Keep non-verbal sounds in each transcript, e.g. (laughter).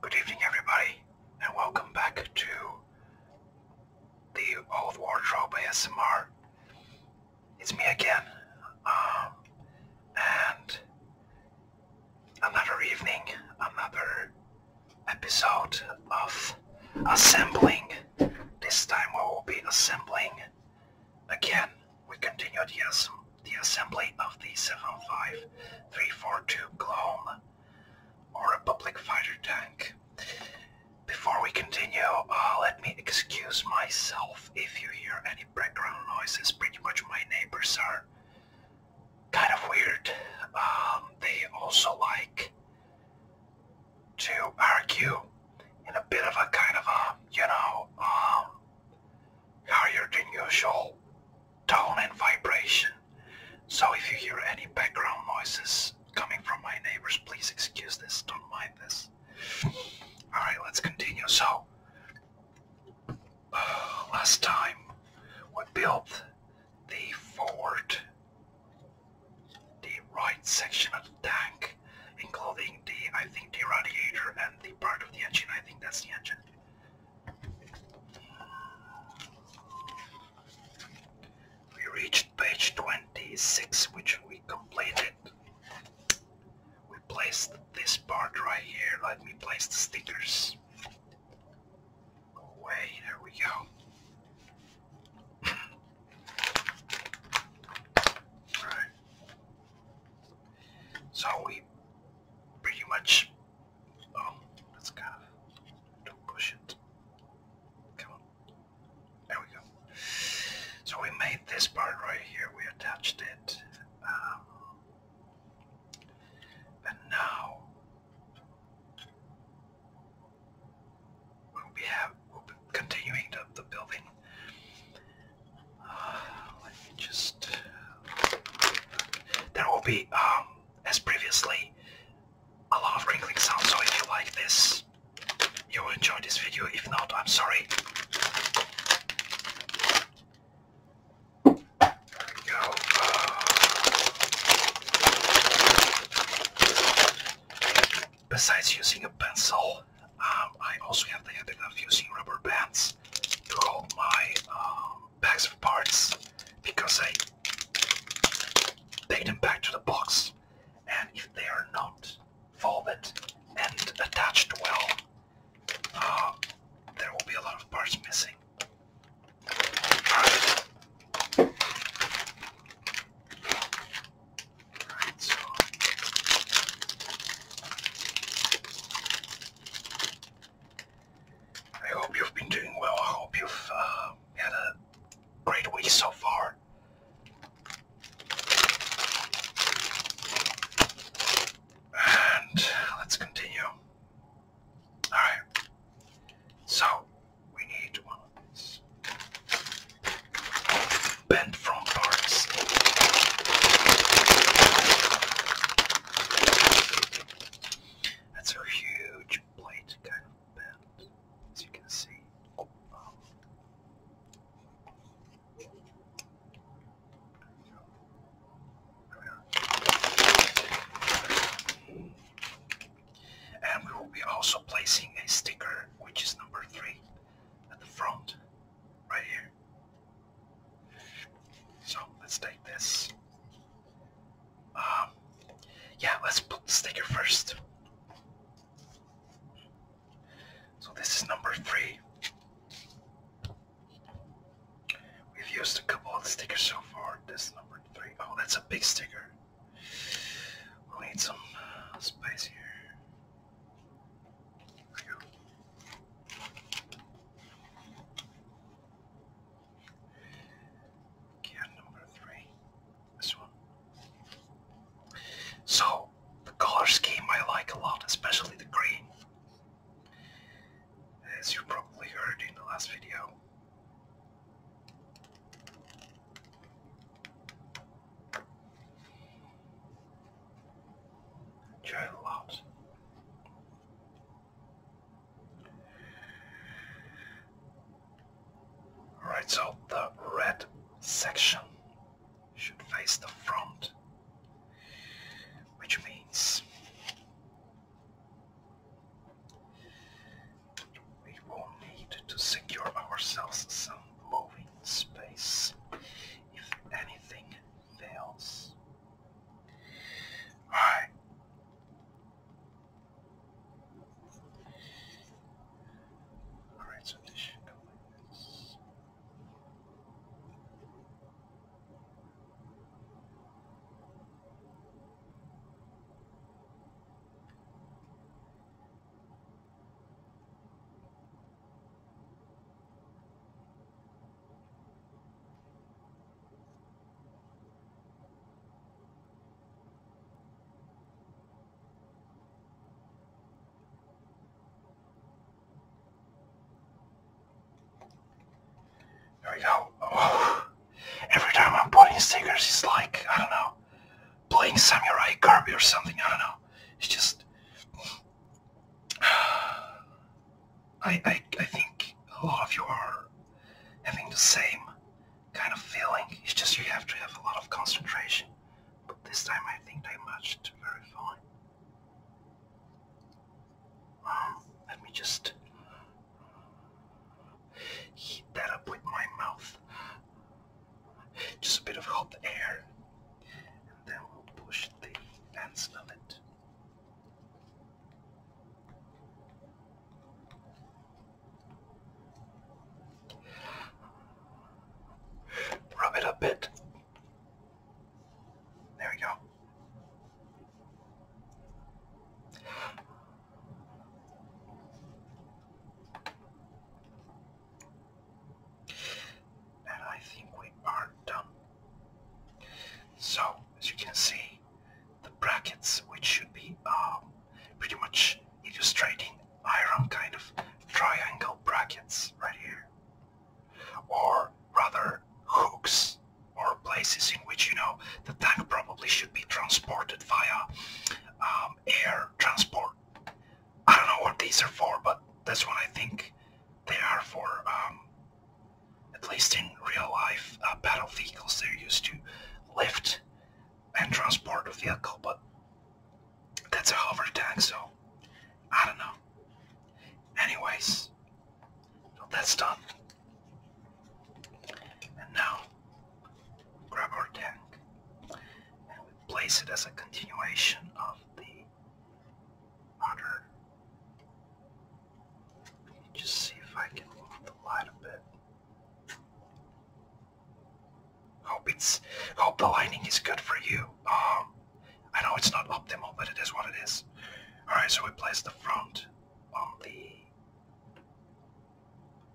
Good evening, everybody, and welcome back to the Old Wardrobe ASMR. It's me again, um, and another evening, another episode of assembling. This time we will be assembling again. We continue the, the assembly of the 75342 clone or a public fighter tank. Before we continue, uh, let me excuse myself if you hear any background noises. Pretty much my neighbors are kind of weird. Um, they also like to argue in a bit of a kind of a, you know, um, higher than usual tone and vibration. So if you hear any background noises coming from my neighbors, please excuse this. Don't mind this. Alright, let's continue. So, (sighs) last time we built the forward, the right section of the tank, including the, I think, the radiator and the part of the engine. I think that's the engine. We reached page 26, which we completed. We placed this part right here. Let me place the stickers. away, oh, there we go. (laughs) So we pretty much Oh, that's kind of... Don't push it. Come on. There we go. So we made this part right here. We attached it. Um, and now we have, continuing the, building. Uh, let me just... There will be um, as previously, a lot of crinkling sounds, so if you like this, you will enjoy this video, if not, I'm sorry. Uh, besides using a pencil, um, I also have the habit of using rubber bands to hold my um, bags of parts because I take them back to the box and if they are not folded and attached well, uh, there will be a lot of parts missing. I hope you've been doing well. I hope you've uh, had a great week so far. And let's continue. Alright. So, we need one of these. Bent front parts. That's a huge plate kind of bent, as you can see. And we will be also placing a sticker, which is number three, at the front, right here. So let's take this um, yeah, let's put the sticker first. So this is number three. We've used a couple of stickers so far. This number three. Oh, that's a big sticker. We'll need some uh, space here. There we go. Can number three. This one. So the color scheme I like a lot, especially the green. As you probably heard in the last video. Enjoy a lot. Right, so the red section should face the front, which means we will need to secure ourselves some moving space if anything fails. Alright, Alright, so this should go like this. There we go. Oh. Every time I'm putting stickers, it's like, I don't know, playing Samurai Kirby or something. I don't know. It's just. (sighs) I, I, I think a lot of you are having the same kind of feeling. It's just you have to have a lot of concentration. But this time I think I matched very fine. Um, let me just heat that up with my mouth. Just a bit of hot air. And then we'll push the ends of it Rub it a bit. There we go. And I think we are done. So, as you can see, the brackets, which should be um, pretty much illustrating iron kind of triangle brackets right here. Or rather hooks or places in which, you know, the tank probably should be transported via um, air transport. I don't know what these are for, but that's what I think they are for. Um, at least in real life, uh, battle vehicles, they're used to lift and transport a vehicle, but that's a hover tank, so I don't know. Anyways, that's done. And now, grab our tank and place it as a continuation of the other and just see if I can light a bit. Hope it's hope the lighting is good for you. Um, I know it's not optimal, but it is what it is. All right, so we place the front on the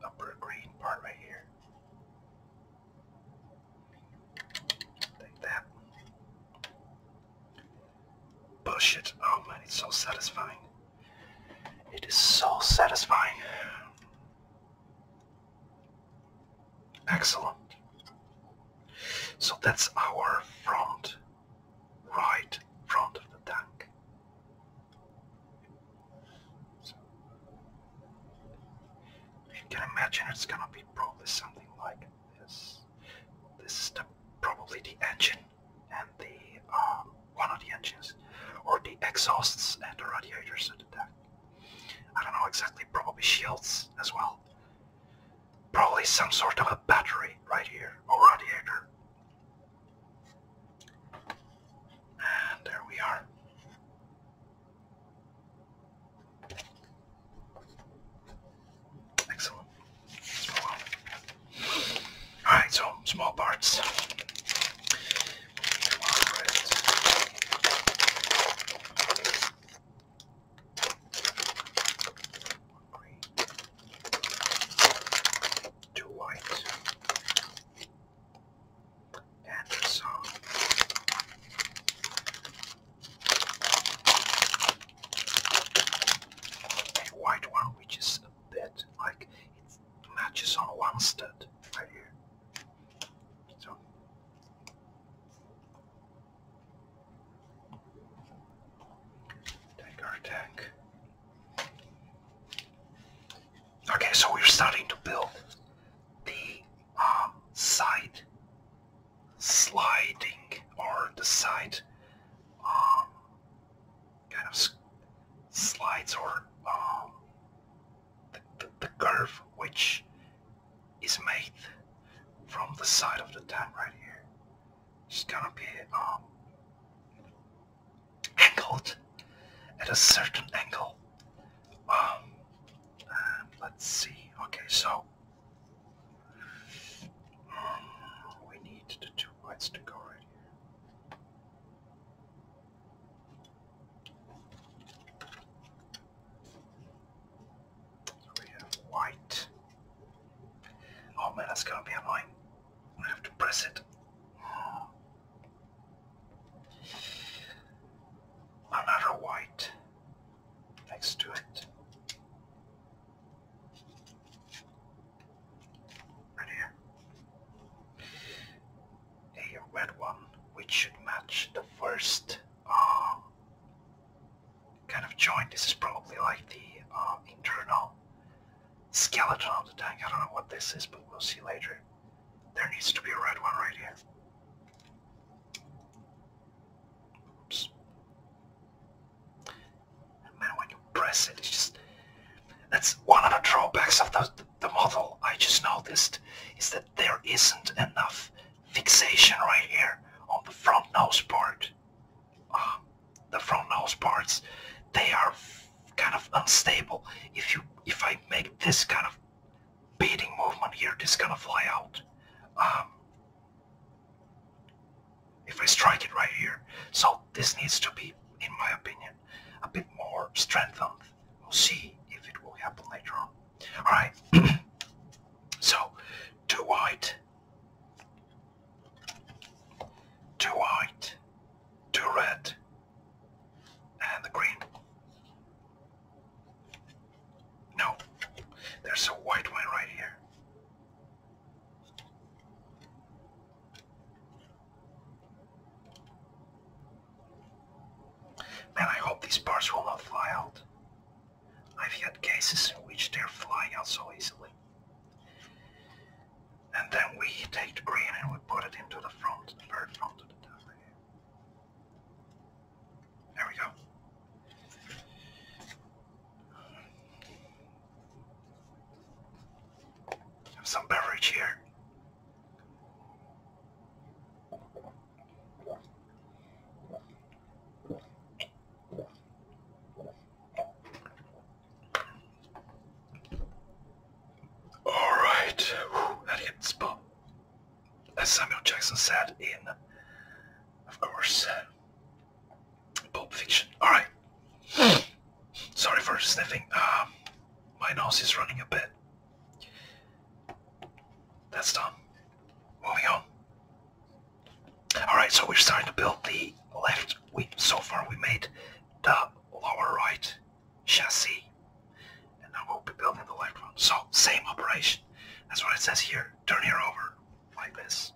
upper green part right here. Like that. Push it. Oh man, it's so satisfying. It is so satisfying. Excellent. So that's our front, right front of the tank. So you can imagine it's gonna be probably something like this. This is probably the engine and the um, one of the engines or the exhausts and the radiators I don't know exactly, probably shields as well. Probably some sort of a battery right here or radiator. And there we are. Excellent. Alright, so small parts. Two white. And so a white one which is that like it matches on one stud right here. So take our Okay, so we're starting to build the um, side sliding or the side um, kind of slides or um, the, the, curve which is made from the side of the dam right here. It's gonna be um, angled at a certain angle. Um, let's see. Okay, so um, we need the two lights to go right here. We have white. Oh man, that's gonna be annoying. I have to press it. Another white next to it. Right here. A red one, which should match the first uh, kind of joint. This is probably like the uh, internal skeleton of the tank. I don't know what this is, but we'll see later. There needs to be a red one right here man, when you press it, just... That's one of the drawbacks of the, the model I just noticed, is that there isn't enough fixation right here on the front nose part. Uh, the front nose parts, they are kind of unstable. If you, if I make this kind of beating movement here, this gonna fly out. Um, if I strike it right here. So this needs to be, in my opinion, a bit more strengthened. We'll see if it will happen later on. Alright, (clears throat) so two white, two white, two red, and the green. No, there's a white one right here. Man, I hope these bars will not fly out. I've had cases in which they're flying out so easily. And then we take the green and we put it into the front, very front of There we go. Have some beverage here. All right, that hit the spot. As Samuel Jackson said in, of course, Pulp Fiction. All right, (sighs) Sorry for sniffing. Um, my nose is running a bit. That's done. Moving on. Alright, so we're starting to build the left wing. So far we made the lower right chassis. And now we'll be building the left one. So, same operation. That's what it says here. Turn here over, like this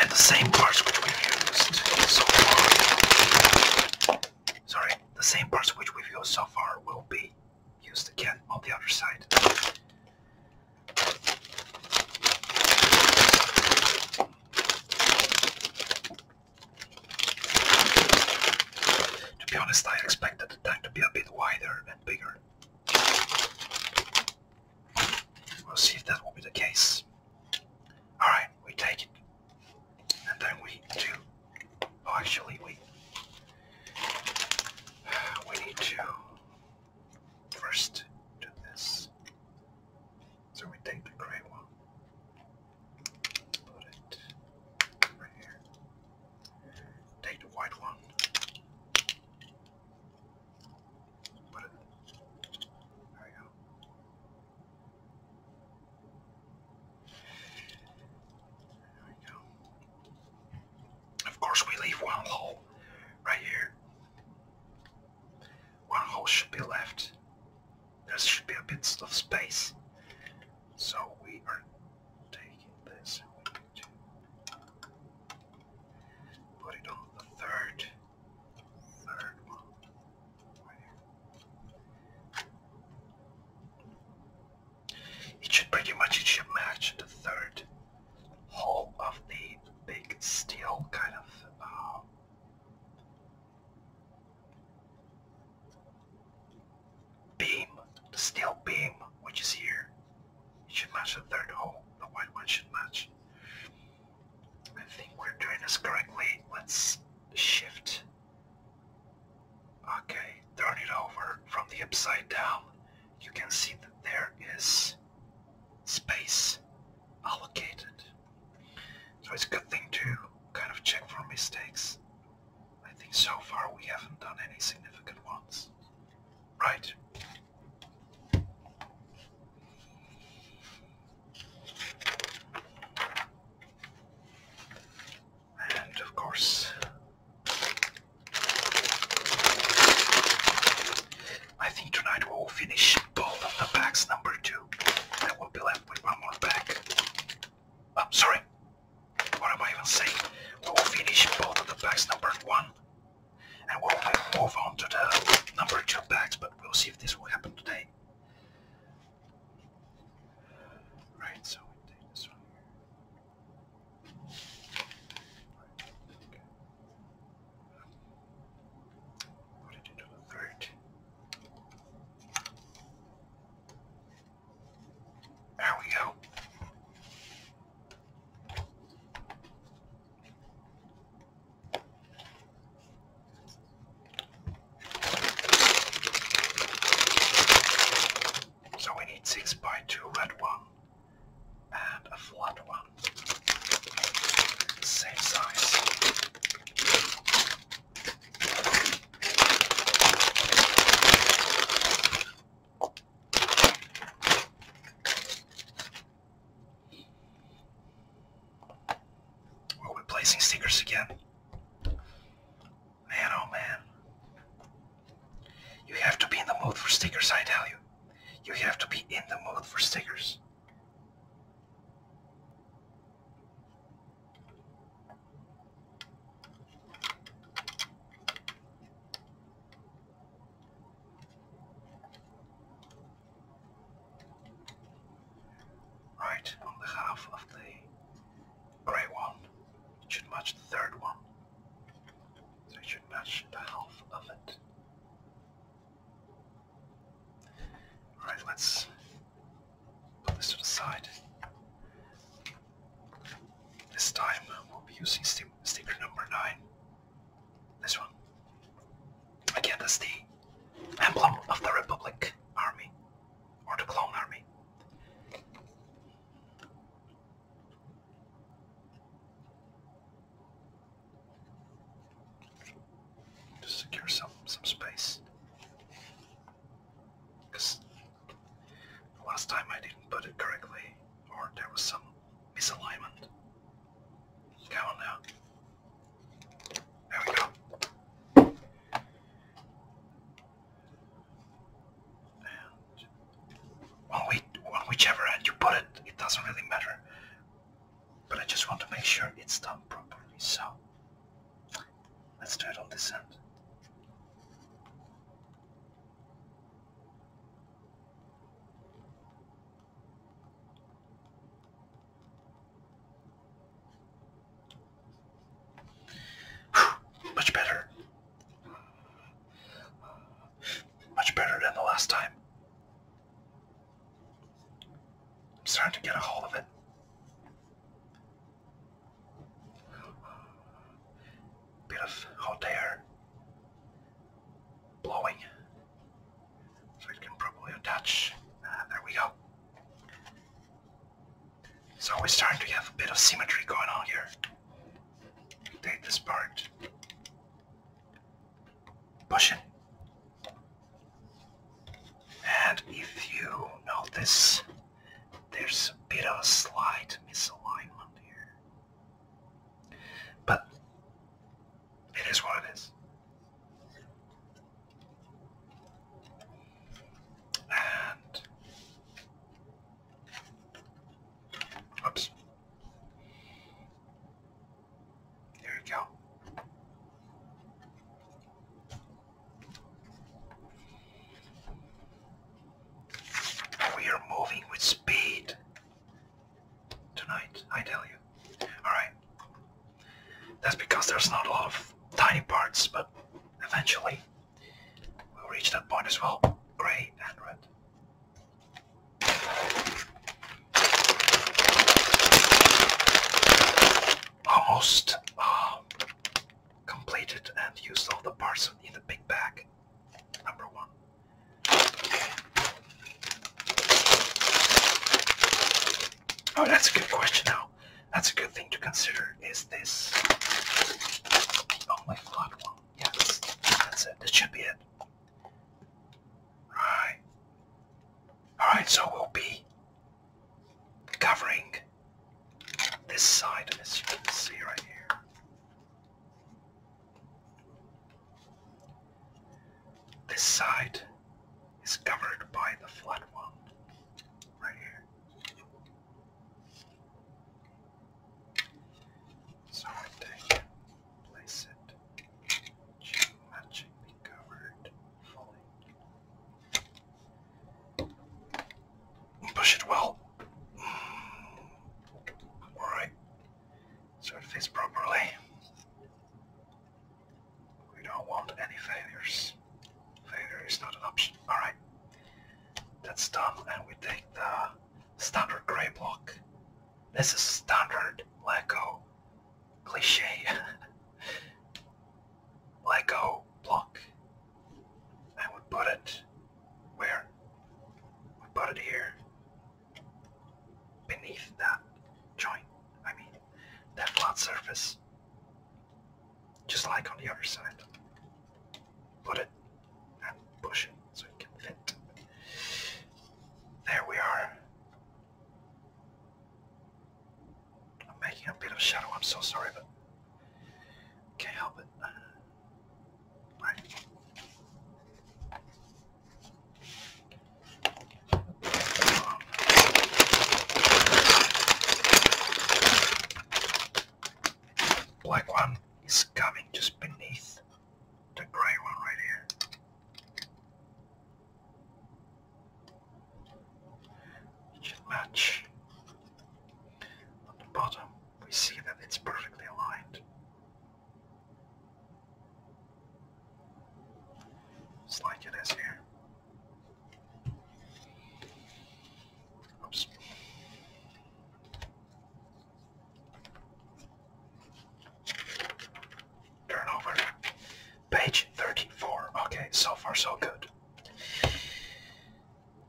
and the same parts which we've used so far. Sorry, the same parts which we used so far will be used again on the other side. To be honest, I expected the tank to be a bit wider and bigger. We'll see if that will be the case. Alright, we take it. And then we do... Oh, actually, we... We need to first do this. So we take the gray one. Put it right here. Take the white one. There we go. There we go. Of course, we leave one hole right here. One hole should be left. There should be a bit of space. So we are taking this put it on the third. It should pretty much it should match the third hole of the big steel kind of uh, beam, the steel beam which is here. It should match the third hole. The white one should match. I think we're doing this correctly. Let's shift. Okay, turn it over from the upside down. You can see that there is space allocated. So it's a good thing to kind of check for mistakes. I think so far we haven't done any significant ones. Right. And of course, I think tonight we'll finish both of the packs number two. And we'll be left with one more pack. I'm oh, sorry. What am I even saying? We'll finish both of the packs number one. And we'll move on to the number two packs we'll see if this will happen today. Right, so we take this one here. Okay. Put it into a third. There we go. So we need six by two red one and a flat one. Same size we are replacing stickers again. Man, oh man. You have to be in the mood for stickers, I tell you. You have to be in the mood for stickers. Right, on the half of the grey one. It should match the third one. So it should match the half of it. All let's put this to the side. This time we'll be using sticker number 9. This one. Again, that's the emblem of the Republic Army, or the Clone Army. To secure some some space, because last time I didn't put it correctly, or there was some misalignment. Come on now. There we go. on, we, on whichever end you put it, it doesn't really matter. But I just want to make sure it's done properly. So let's do it on this end much better. Much better than the last time. I'm starting to get a hold of it. Bit of hot air blowing so it can probably attach. Uh, there we go. So we're starting to have a bit of symmetry going on here. Take this part. Push it. And if you notice, there's a bit of a slight misalignment here. But it is what it is. And oops. There we go. We are moving with speed tonight, I tell you. Alright. That's because there's not a lot of tiny parts, but eventually we'll reach that point as well. Grey and Almost um, completed and used all the parts in the big bag. Number one. Oh, that's a good question now. That's a good thing to consider. Is this the only oh, one? Yes, that's, it. This should be it. Right. Alright, so we'll be covering this side, as you can see right here. This side is covered by the flat one right here. So I take, place it, matching be covered fully. Push it well. Alright, so properly. We don't want any failures. Failure is not an option. Alright. That's done and we take the standard grey block. This is standard Lego cliche (laughs) Lego block. And we put it where? We put it here beneath that joint. I mean, that flat surface, just like on the other side. Put it and push it so it can fit. There we are. I'm making a bit of shadow, I'm so sorry, but can't help it. Right. Black one is coming just beneath the grey one right here. should match. On the bottom we see that it's perfectly aligned. Just like it is here. Oops. Turnover. Page 34. Okay, so far so good.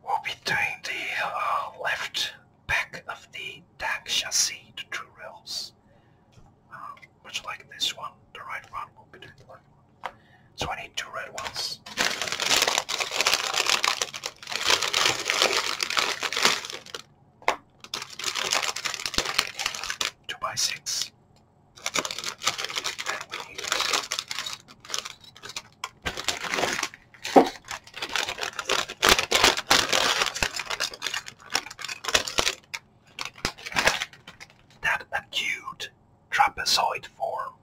We'll be doing the uh, left back of the DAC chassis, the two rails much um, like this one, the right one will be the left one. So I need two red ones. Two by six. That acute trapezoid form,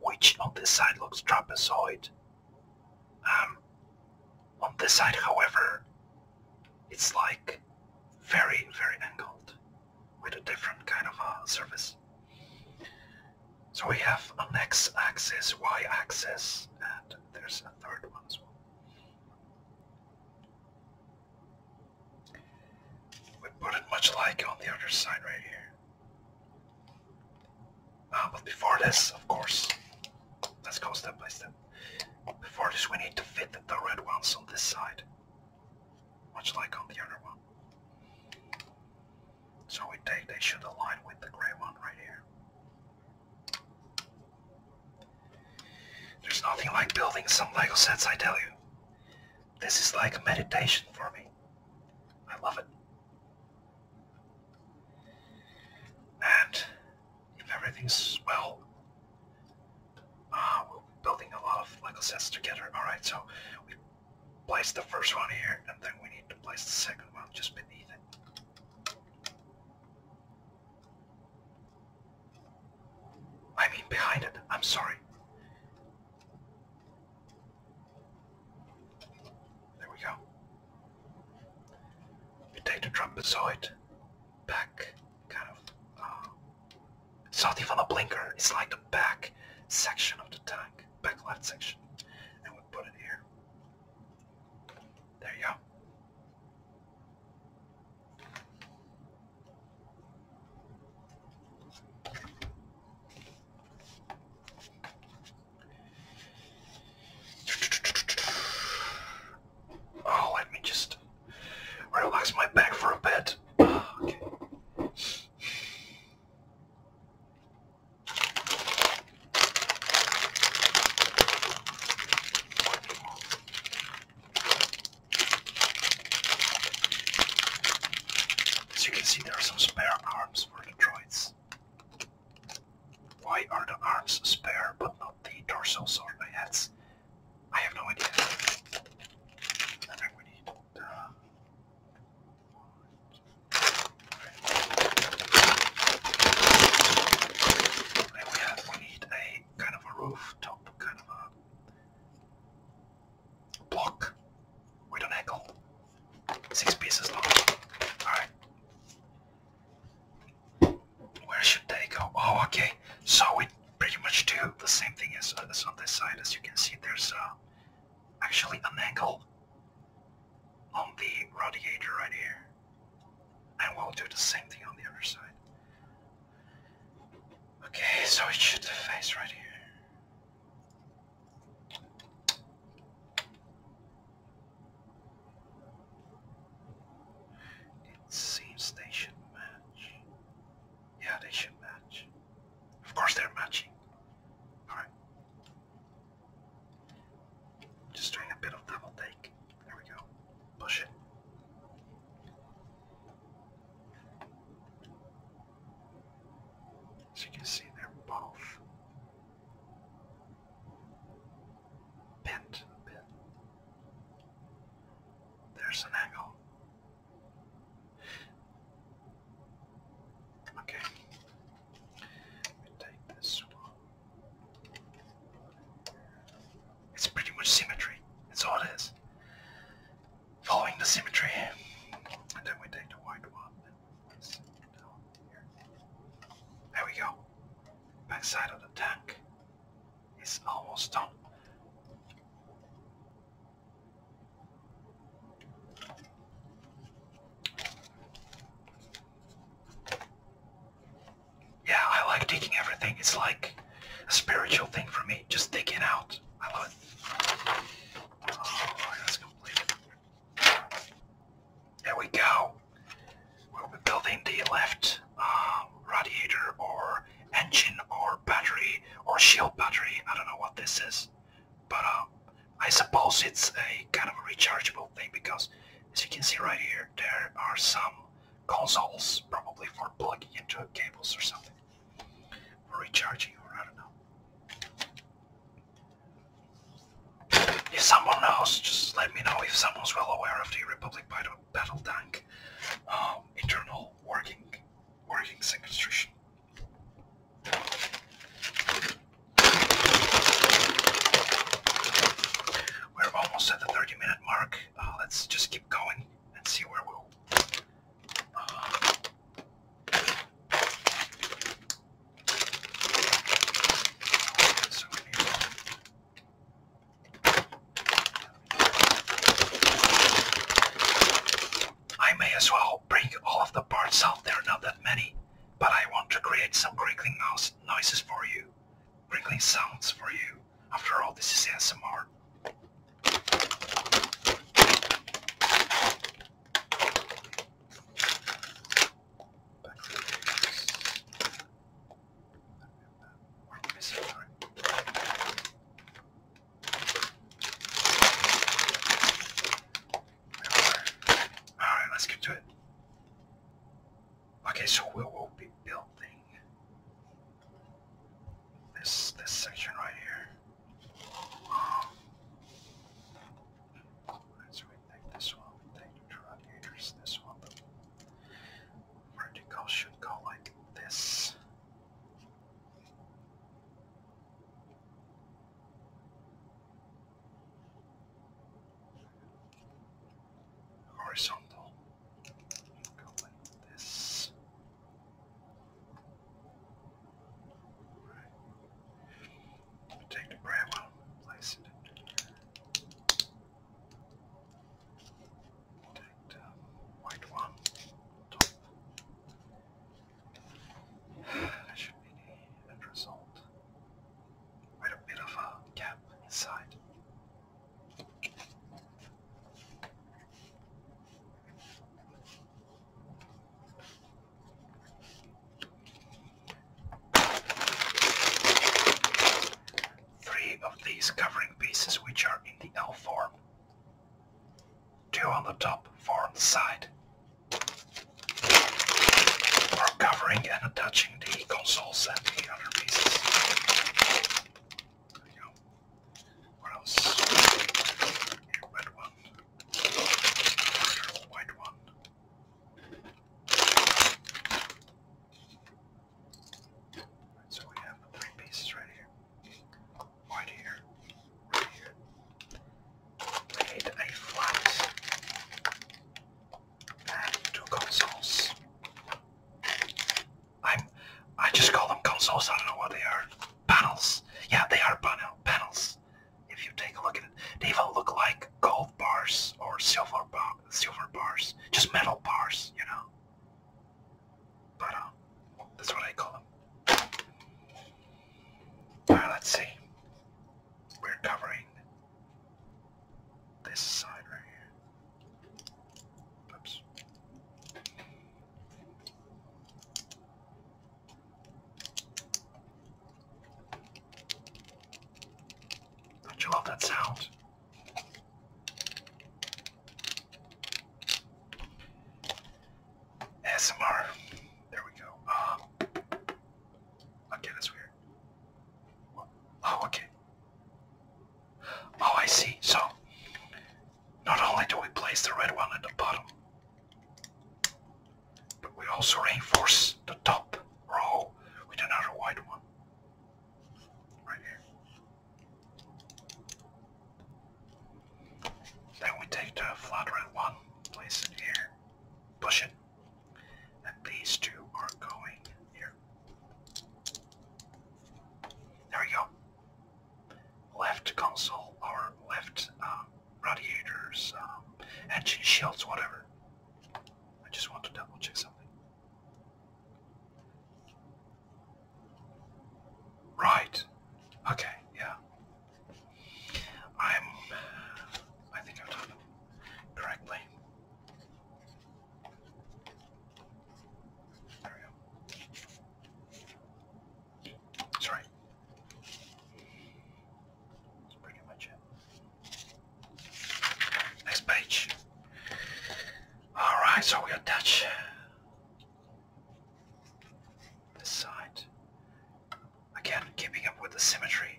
which on this side looks trapezoid. Um, on this side, however, it's like very, very angled with a different kind of a uh, surface. So we have an x-axis, y-axis, and there's a third one as well. We put it much like on the other side right here. Ah, but before this, of course, let's go step by step. Before this, we need to fit the red ones on this side, much like on the other one. So we take, they should align with the gray one right here. There's nothing like building some Lego sets, I tell you. This is like a meditation for me. I love it. And if everything's well, uh, we're building a lot of Lego sets together. Alright, so we place the first one here, and then we need to place the second one just beneath it. I mean behind it, I'm sorry. There we go. We take the trapezoid back, kind of, uh, it's not even a blinker, it's like the back section of the tank, back left section, and we put it here. There you go. Oh, let me just relax my back for a bit. Okay. As you can see, there are some spare arms for the droids. Why are the arms spare but not the torsos or the heads? I have no idea. I we need the... Uh, then we, have, we need a kind of a rooftop, kind of a block with an angle. Six pieces long. Alright. Where should they go? Oh, okay. So we pretty much do the same thing as, as on this side. As you can see, there's uh, actually an angle on the radiator right here. And we'll do the same thing on the other side. Okay, so it should face right here. It seems they should match. Yeah, they should match. Of course they're matching. Alright. Just doing a bit of double take. There we go. Push it. As you can see, they're both bent a bit. There's an angle. Okay. Let me take this one. It's pretty much symmetry. That's all it is. Following the symmetry. And then we take the white one There we go. Backside of the tank. It's almost done. Yeah, I like digging everything. It's like a spiritual thing for me. Just digging out Oh, there we go. We'll be building the left uh, radiator or engine or battery or shield battery. I don't know what this is, but uh, I suppose it's a kind of a rechargeable thing because as you can see right here, there are some consoles probably for plugging into cables or something. We're recharging, or I don't know. If someone knows, just let me know if someone's well aware of the Republic Battle Tank um, internal working, working sequestration. We're almost at the 30 minute mark. Uh, let's just keep going and see where we'll I may as well break all of the parts out, there are not that many, but I want to create some crinkling mouse noises for you, crinkling sounds for you. After all, this is ASMR. Alright, let's get to it. Okay, so we'll, be building this this section right here. Um, so we this one, we take this one, vertical should go like this. Horizontal. Go like this. Take the bread while i it. Take the white one. Top. There should be the end result with a bit of a gap inside. Three of these covering pieces which are in the L form. Two on the top, four on the side. For covering and attaching the consoles and the other pieces. What else? red one. white one. so we have three pieces right here. White here. We need a flat. And two consoles. I'm I just call them consoles. I don't know what they are. Panels. Yeah, they are panels. If you take a look at it, they even look like gold bars or silver bar silver bars, just metal bars, you know. But um, that's what I call them. All right, let's see. We're covering this side right here. Oops do love that sound? ASMR. There we go. Uh, okay, that's weird. Oh, okay. Oh, I see. So, not only do we place the red one at the bottom, but we also reinforce the top row with another white one. Right here. Then we take the flat one, place it here, push it, and these two are going here. There we go left console or left um, radiators, and um, shields, whatever. I just want to double check something. Right. Okay. Yeah. I'm. I think I've done it correctly. There that's That's pretty much it. Next page. Alright, so we attach this side. Again, keeping up with the symmetry.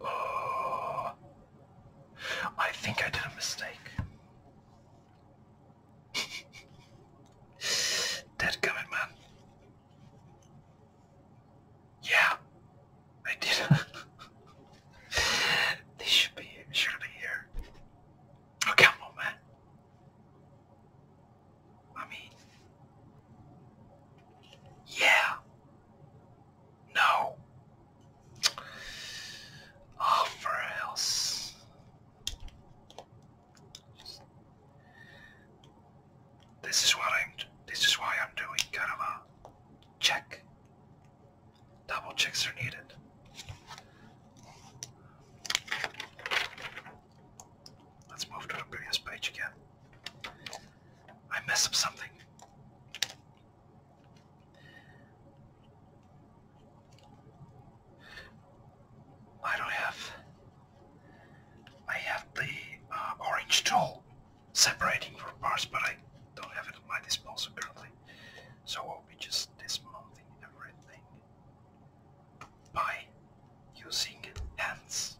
oh, I think I did a mistake. (laughs) Dead coming, man. Yeah, I did. (laughs) they should be Should be here. Oh, come on, man. I mean, yeah. No. Oh, for else. This is what I'm. This is why I'm doing kind check. Double checks are needed. Let's move to the previous page again. I messed up something. I don't have. I have the uh, orange tool separating for parts, but I don't have it at my disposal currently. So we will be just dismounting everything by using hands.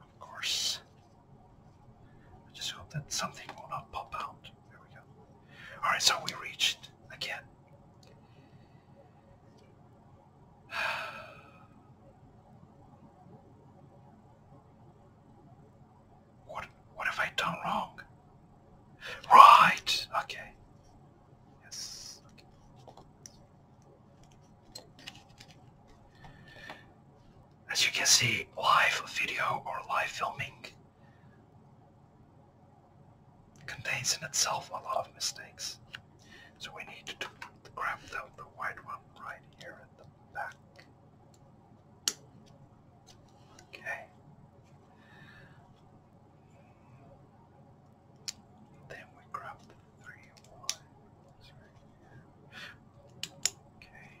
Of course, I just hope that something will not pop out. There we go. Alright, so we reached again. (sighs) What what have I done wrong? Right! Okay. Yes. Okay. As you can see, live video or live filming contains in itself a lot of mistakes. So we need to grab the, the white one right here at the back. Okay. Then we grab the three ones right Okay.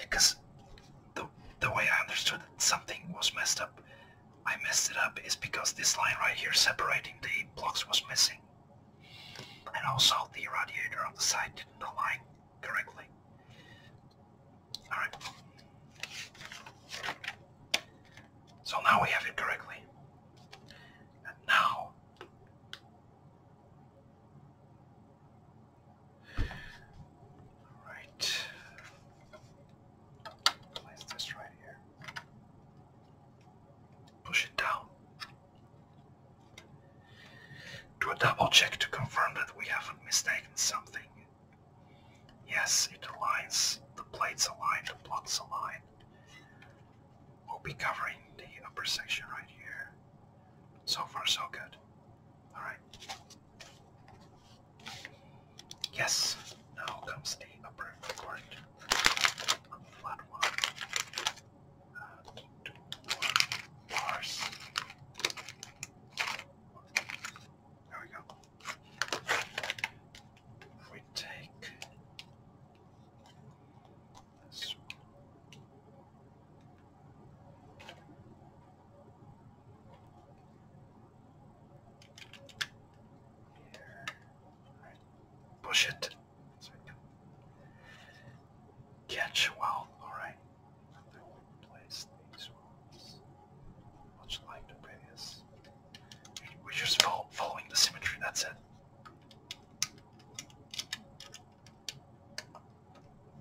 Because the, the way I understood that something was messed up, I messed it up, is because this line right here separating the blocks was missing. And also the radiator on the side didn't align correctly. Alright. So now we have it correctly. And now, all right, place this right here. Push it down. Do a double check to confirm that we haven't mistaken something. Yes, it aligns. The plates align, the blocks align. We'll be covering the upper section right here. So far, so good. Alright. Yes, now comes the upper part on uh, There we go we take push it so we can catch well, alright. I will much like the previous. We just following the symmetry, that's it.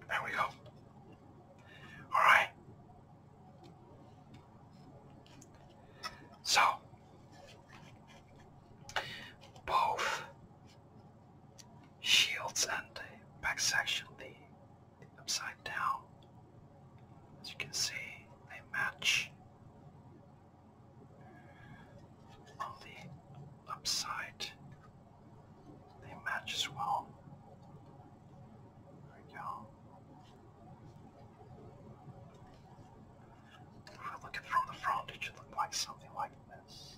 There we go. All right. So, both shields and back section, the upside down, as you can see, they match on the upside, they match as well. There we go. If we look at from the front, it should look like something like this.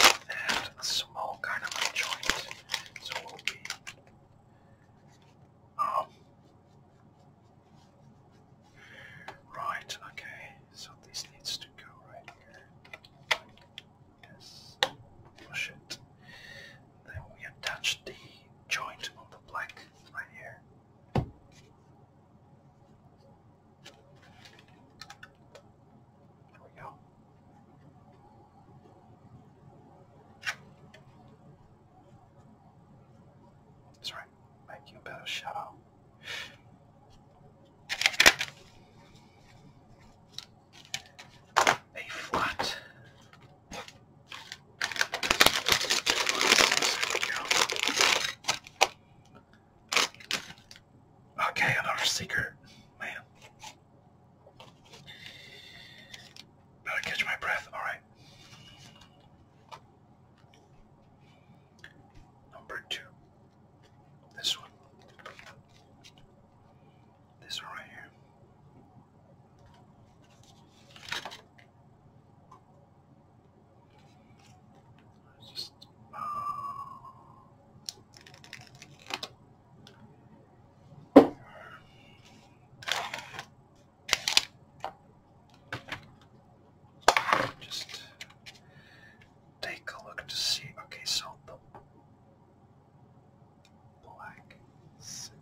And a small carnivore joint. So we'll be um Right, okay, so this needs to go right here. Yes. Push it. Then we attach the joint on black right here. There we go. That's right. Make you a better shadow a flat. Okay, another secret. Man. Better catch my breath. Alright. Number two. This one. This one right here. Just just take a look to see. Okay, so black. Six,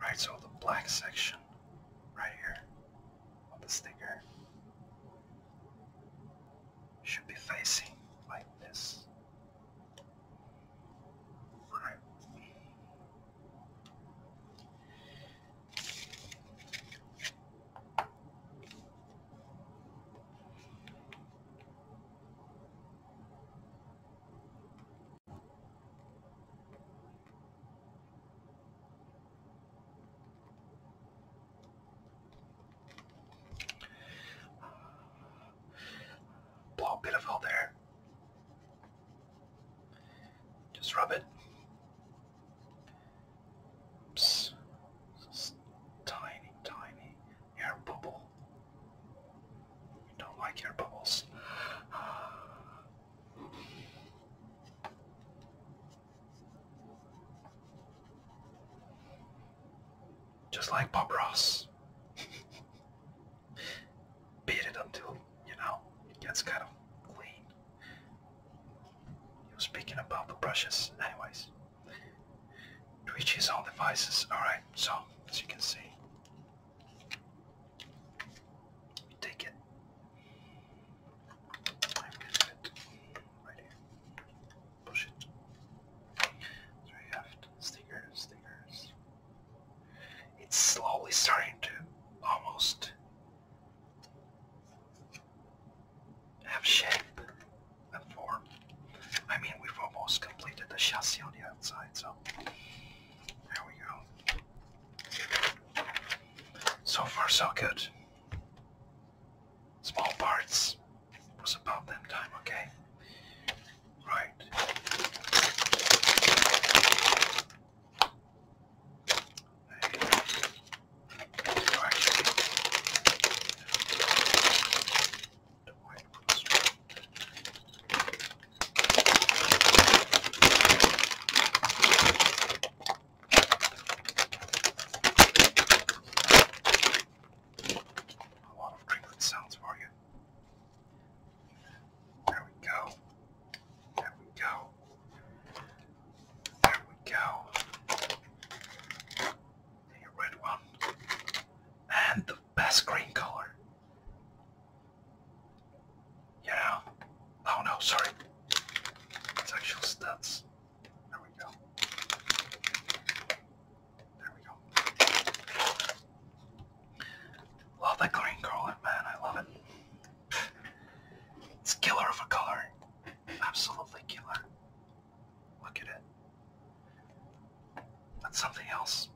Right, so the black section right here on the sticker should be facing like this. Blow a bit of oil there. Just rub it. Psst. Tiny, tiny air bubble. You don't like air bubbles. (sighs) Just like Bob Ross. (laughs) Beat it until, you know, it gets kind of clean. He was speaking about the brushes. Anyways. Twitch on devices. Alright, so as you can see, we take it. I'm gonna put it right here. Push it. So you have stickers, stickers. It's slowly starting to almost have shape and form. I mean, we've almost completed the chassis on the outside, so there we go. So far, so good. Small parts It was about that time, okay? Right. A lot of crinkling sounds for you. There we go. There we go. There we go the red one, and the best green color. You oh no, sorry, it's actual stats. There we go. There we go. Love that green color, man, I love it. It's killer of a color. Absolutely killer. Look at it. That's something else.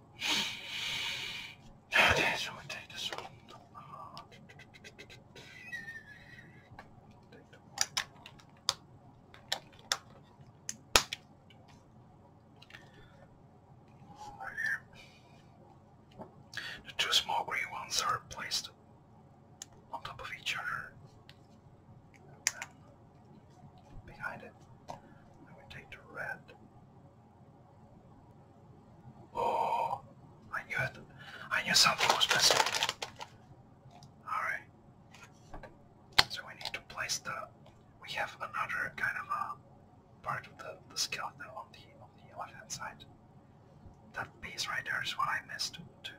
Okay, so we take this one. The two small green ones are placed on top of each other behind it. I will take the red. Oh, I knew it. I knew something was missing. Alright. So we need to place the... We have another kind of a part of the, the skeleton on the, on the left hand side. That piece right there is what I missed to, to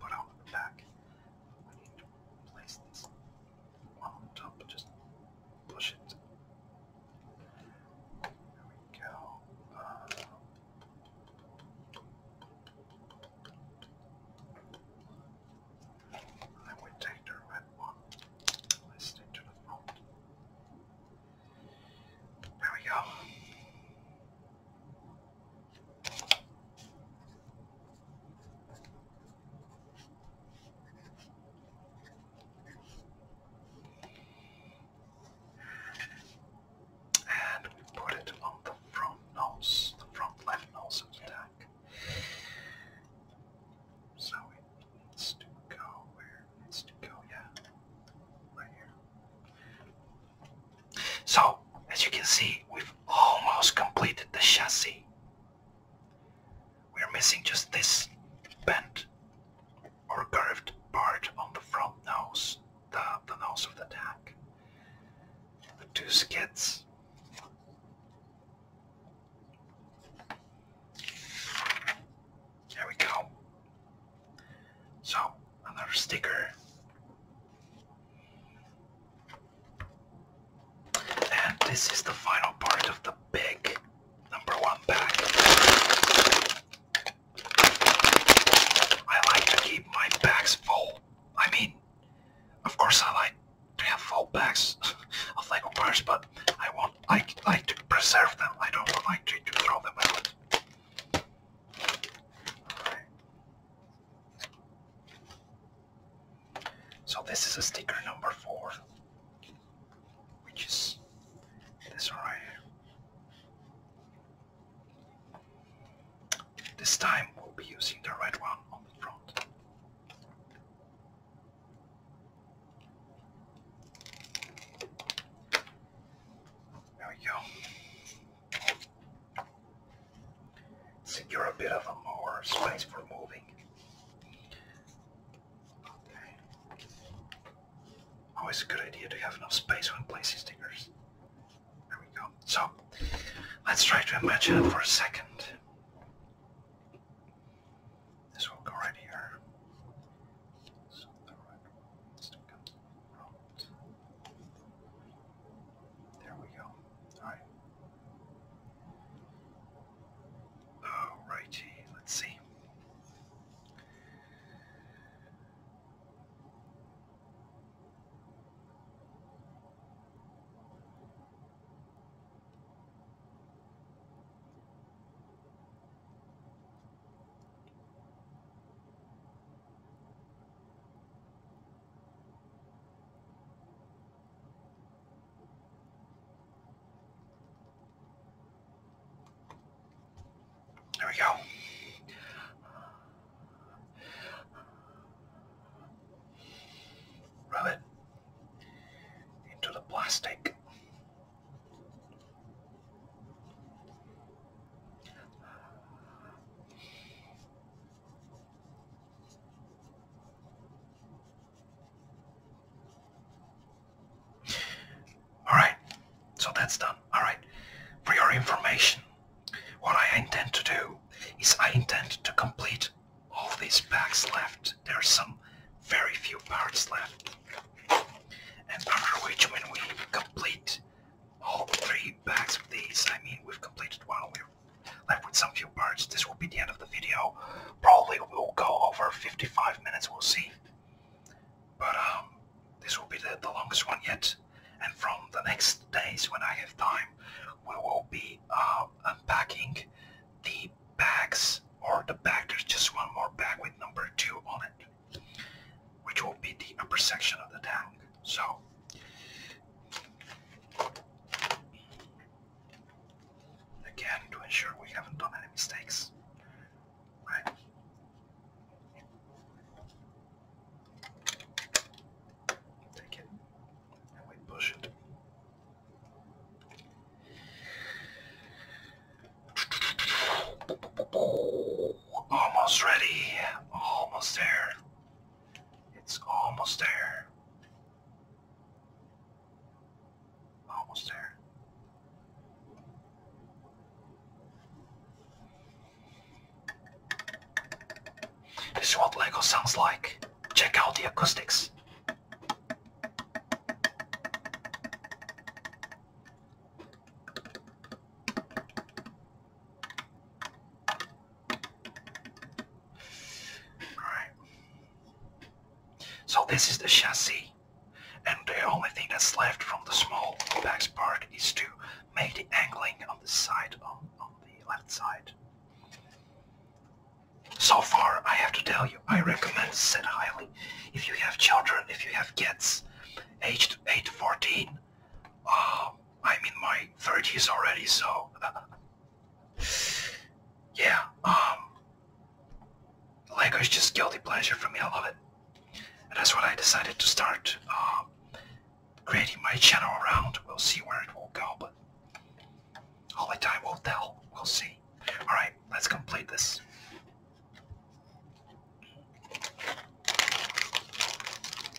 put on the back. I need to place this on top, just push it. There we go. Uh, and then we take the red one. Let's stick to the front. There we go. And we put it on the front nose, the front left nose of So it needs to go where needs to go, yeah. Right here. So, as you can see, we've almost completed the chassis. We're missing just this bent or curved part on the front nose, the, the nose of the tank. The two skids. There we go. So, another sticker. And this is the final part of the big number one pack. I like to keep my bags full. I mean, of course I like to have full bags (laughs) of Lego parts, but I want I like to preserve them. I don't like to, to throw them out. So this is a sticker number four, which is this right here. This time we'll be using the red one on the front. There we go. Secure a bit of a more space for moving. Okay. Always a good idea to have enough space when placing stickers. There we go. So, let's try to imagine it for a second. This will go right here. There we go. All right. All righty. Let's see. There we go. Rub it into the plastic. All right, so that's done. All right, for your information, what I intend to do is I intend to complete all these packs left. There are some very few parts left, and after which, when we complete all three packs of these, I mean, we've completed one, we like with some few birds, this will be the end of the video. Probably we'll go over 55 minutes, we'll see. But um, this will be the, the longest one yet. And from the next days when I have time, we will be uh, unpacking the bags or the bag. There's just one more bag with number two on it, which will be the upper section of the tank. So Again, to ensure we haven't done any mistakes. Right. Take it and we push it. Almost ready. Almost there. It's almost there. Almost there. This is what Lego sounds like. Check out the acoustics. Alright. So this is the chassis. And the only thing that's left from the small back part is to make the angling on the side, on, on the left side. So far, I have to tell you, I recommend set highly. If you have children, if you have kids, aged 8 to 14, um, I'm in my 30s already, so (laughs) yeah. Um, Lego is just guilty pleasure for me. I love it, that's what I decided to start um, creating my channel around. We'll see where it will go, but only time will tell. We'll see. All right, let's complete this.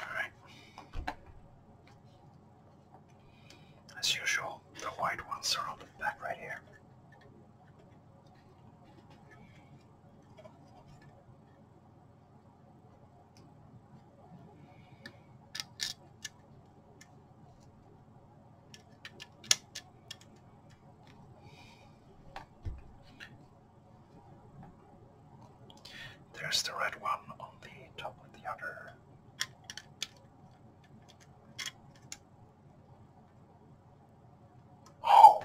All right. As usual, the white ones are on the back right here. There's the red one on the top of the other. Oh,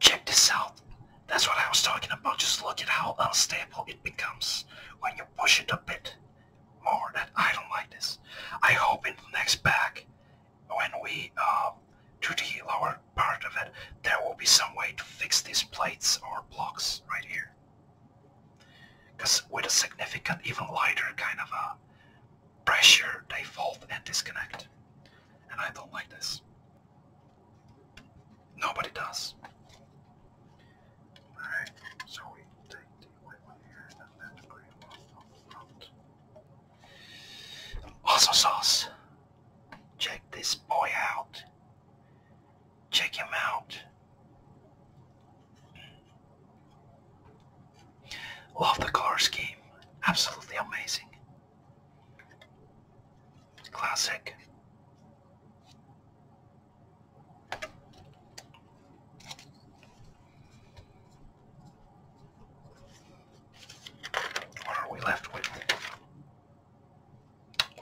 check this out. That's what I was talking about. Just look at how unstable it becomes when you push it a bit more. That I don't like this. I hope in the next pack, when we uh, do the lower part of it, there will be some way to fix these plates or blocks right here. Because with a significant, even lighter kind of a pressure, they fold and disconnect. And I don't like this. Nobody does. Alright, so we take the one here and then the green one on the front. Also sauce. Check this boy out. Check him out. Love the color scheme. Absolutely amazing. Classic. What are we left with?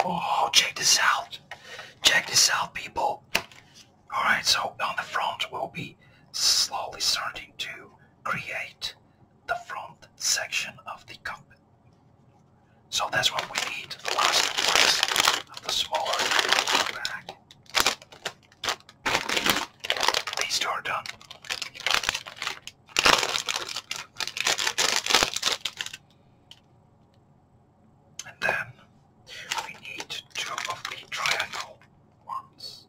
Oh, check this out. Check this out, people. Alright, so on the front, we'll be slowly starting to create the front section of the cockpit. So that's what we need, the last place of the smaller bag. These two are done. And then we need two of the triangle ones.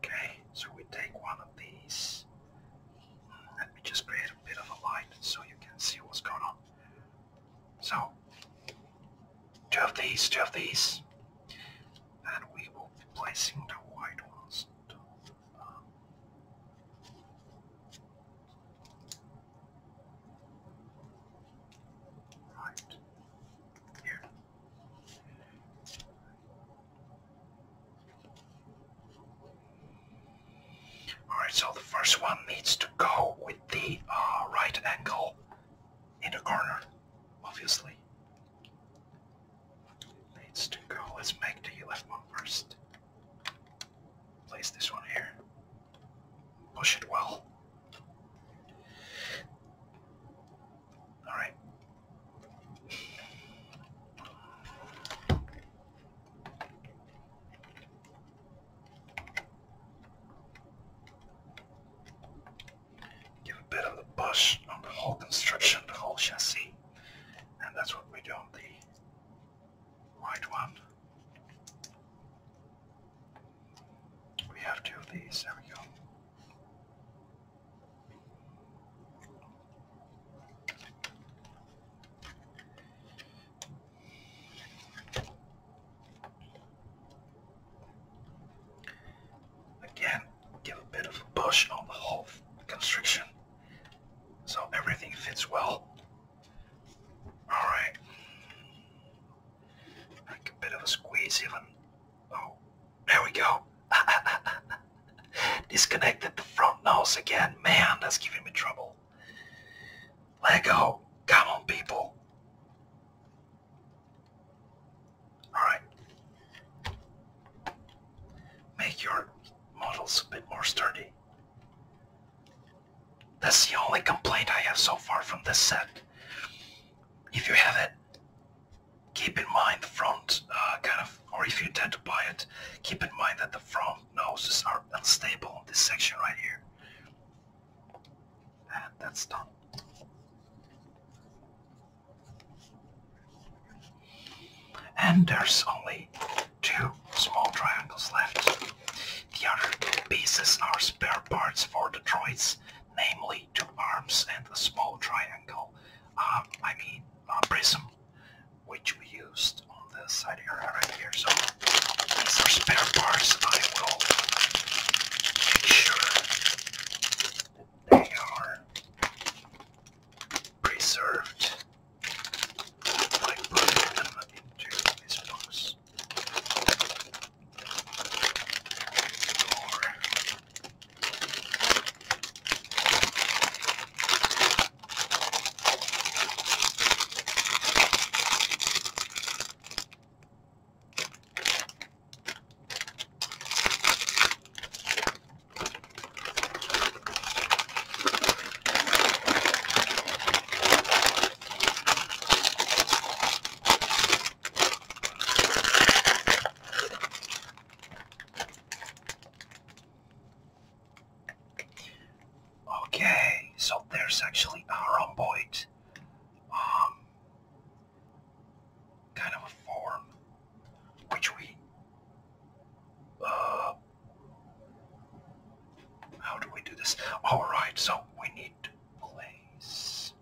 Okay, so we take one of these. Let me just create a bit of a line so you can see what's going on. So, two of these, two of these and we will be placing the white ones to, um, right here. Alright, so the first one needs to go with the uh, right angle in the corner, obviously. Needs to go. Let's make the left one first. Place this one here. Push it well. Alright give a bit of a push on the whole construction, the whole chassis. And that's what we do on the white one. We have two of these, there we go. Again, give a bit of a push on the whole constriction so everything fits well. Alright. Like a bit of a squeeze even. Oh, there we go. (laughs) Disconnected the front nose again. Man, that's giving me trouble. Let go. Come on, people. Alright. Make your models a bit more sturdy. That's the only complaint I have so far from this set. If you have it, keep in mind the front uh, kind of, or if you tend to buy it, keep in mind that the front noses are unstable on this section right here. And that's done. And there's only two small triangles left. The other pieces are spare parts for the droids, namely two arms and a small triangle, uh, I mean a prism, which we used on the side here, right here. So these are spare parts. I will make sure they are preserved by putting them into these books. Okay, so there's actually a rhomboid. Um, kind of a form which we uh how do we do this? Alright, so we need to place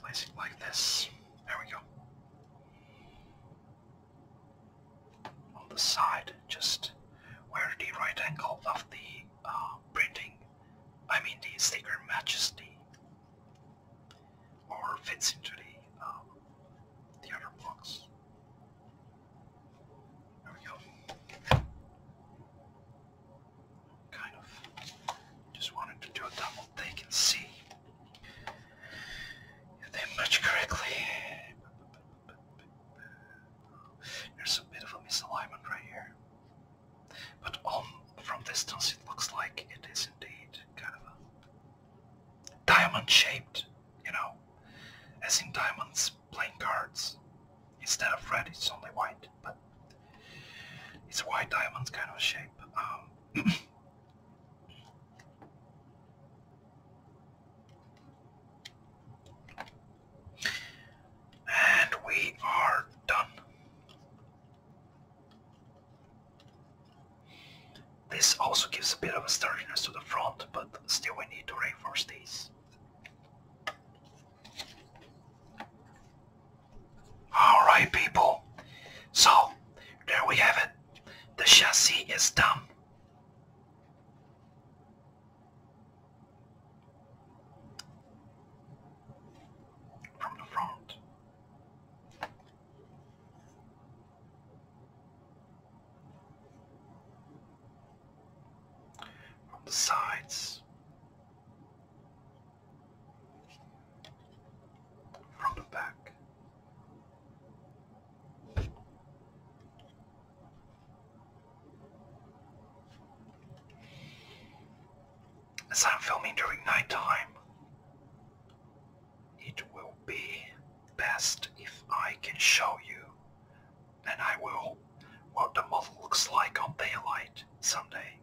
place like this. There we go on the side, just where the right angle of the uh, printing, I mean the sticker matches the, or fits into the, um, the other blocks. There we Kind of just wanted to do a double take and see if they match correctly. There's a bit of a misalignment right here. But on, um, from distance it looks like it is indeed kind of a diamond shaped, you know, as in diamonds playing cards. Instead of red it's only white, but it's a white diamond kind of shape. Um, (clears throat) And we are done. This also gives a bit of a sturdiness to the front, but still we need to reinforce these. Alright people, so there we have it. The chassis is done. From the front. From the sides. From the back. As I'm filming during nighttime, it will be best if I can show you, and I will, what the model looks like on daylight someday.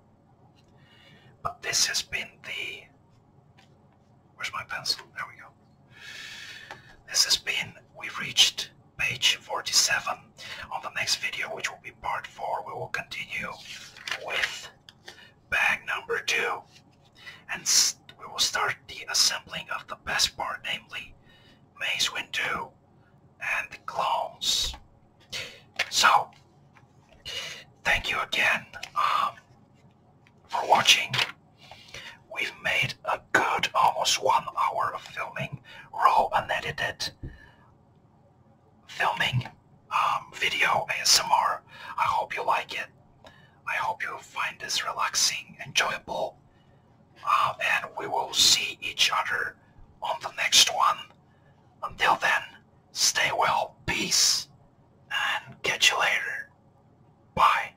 But this has been the. Where's my pencil? There we go. This has been we reached page 47. On the next video, which will be part 4, we will continue with bag number 2. And we will start the assembling of the best part, namely Maze Wind 2 and the clones. So, thank you again um, for watching. We've made a good almost one hour of filming, raw unedited filming, um, video, ASMR. I hope you like it. I hope you find this relaxing, enjoyable. Um, and we will see each other on the next one. Until then, stay well, peace, and catch you later. Bye.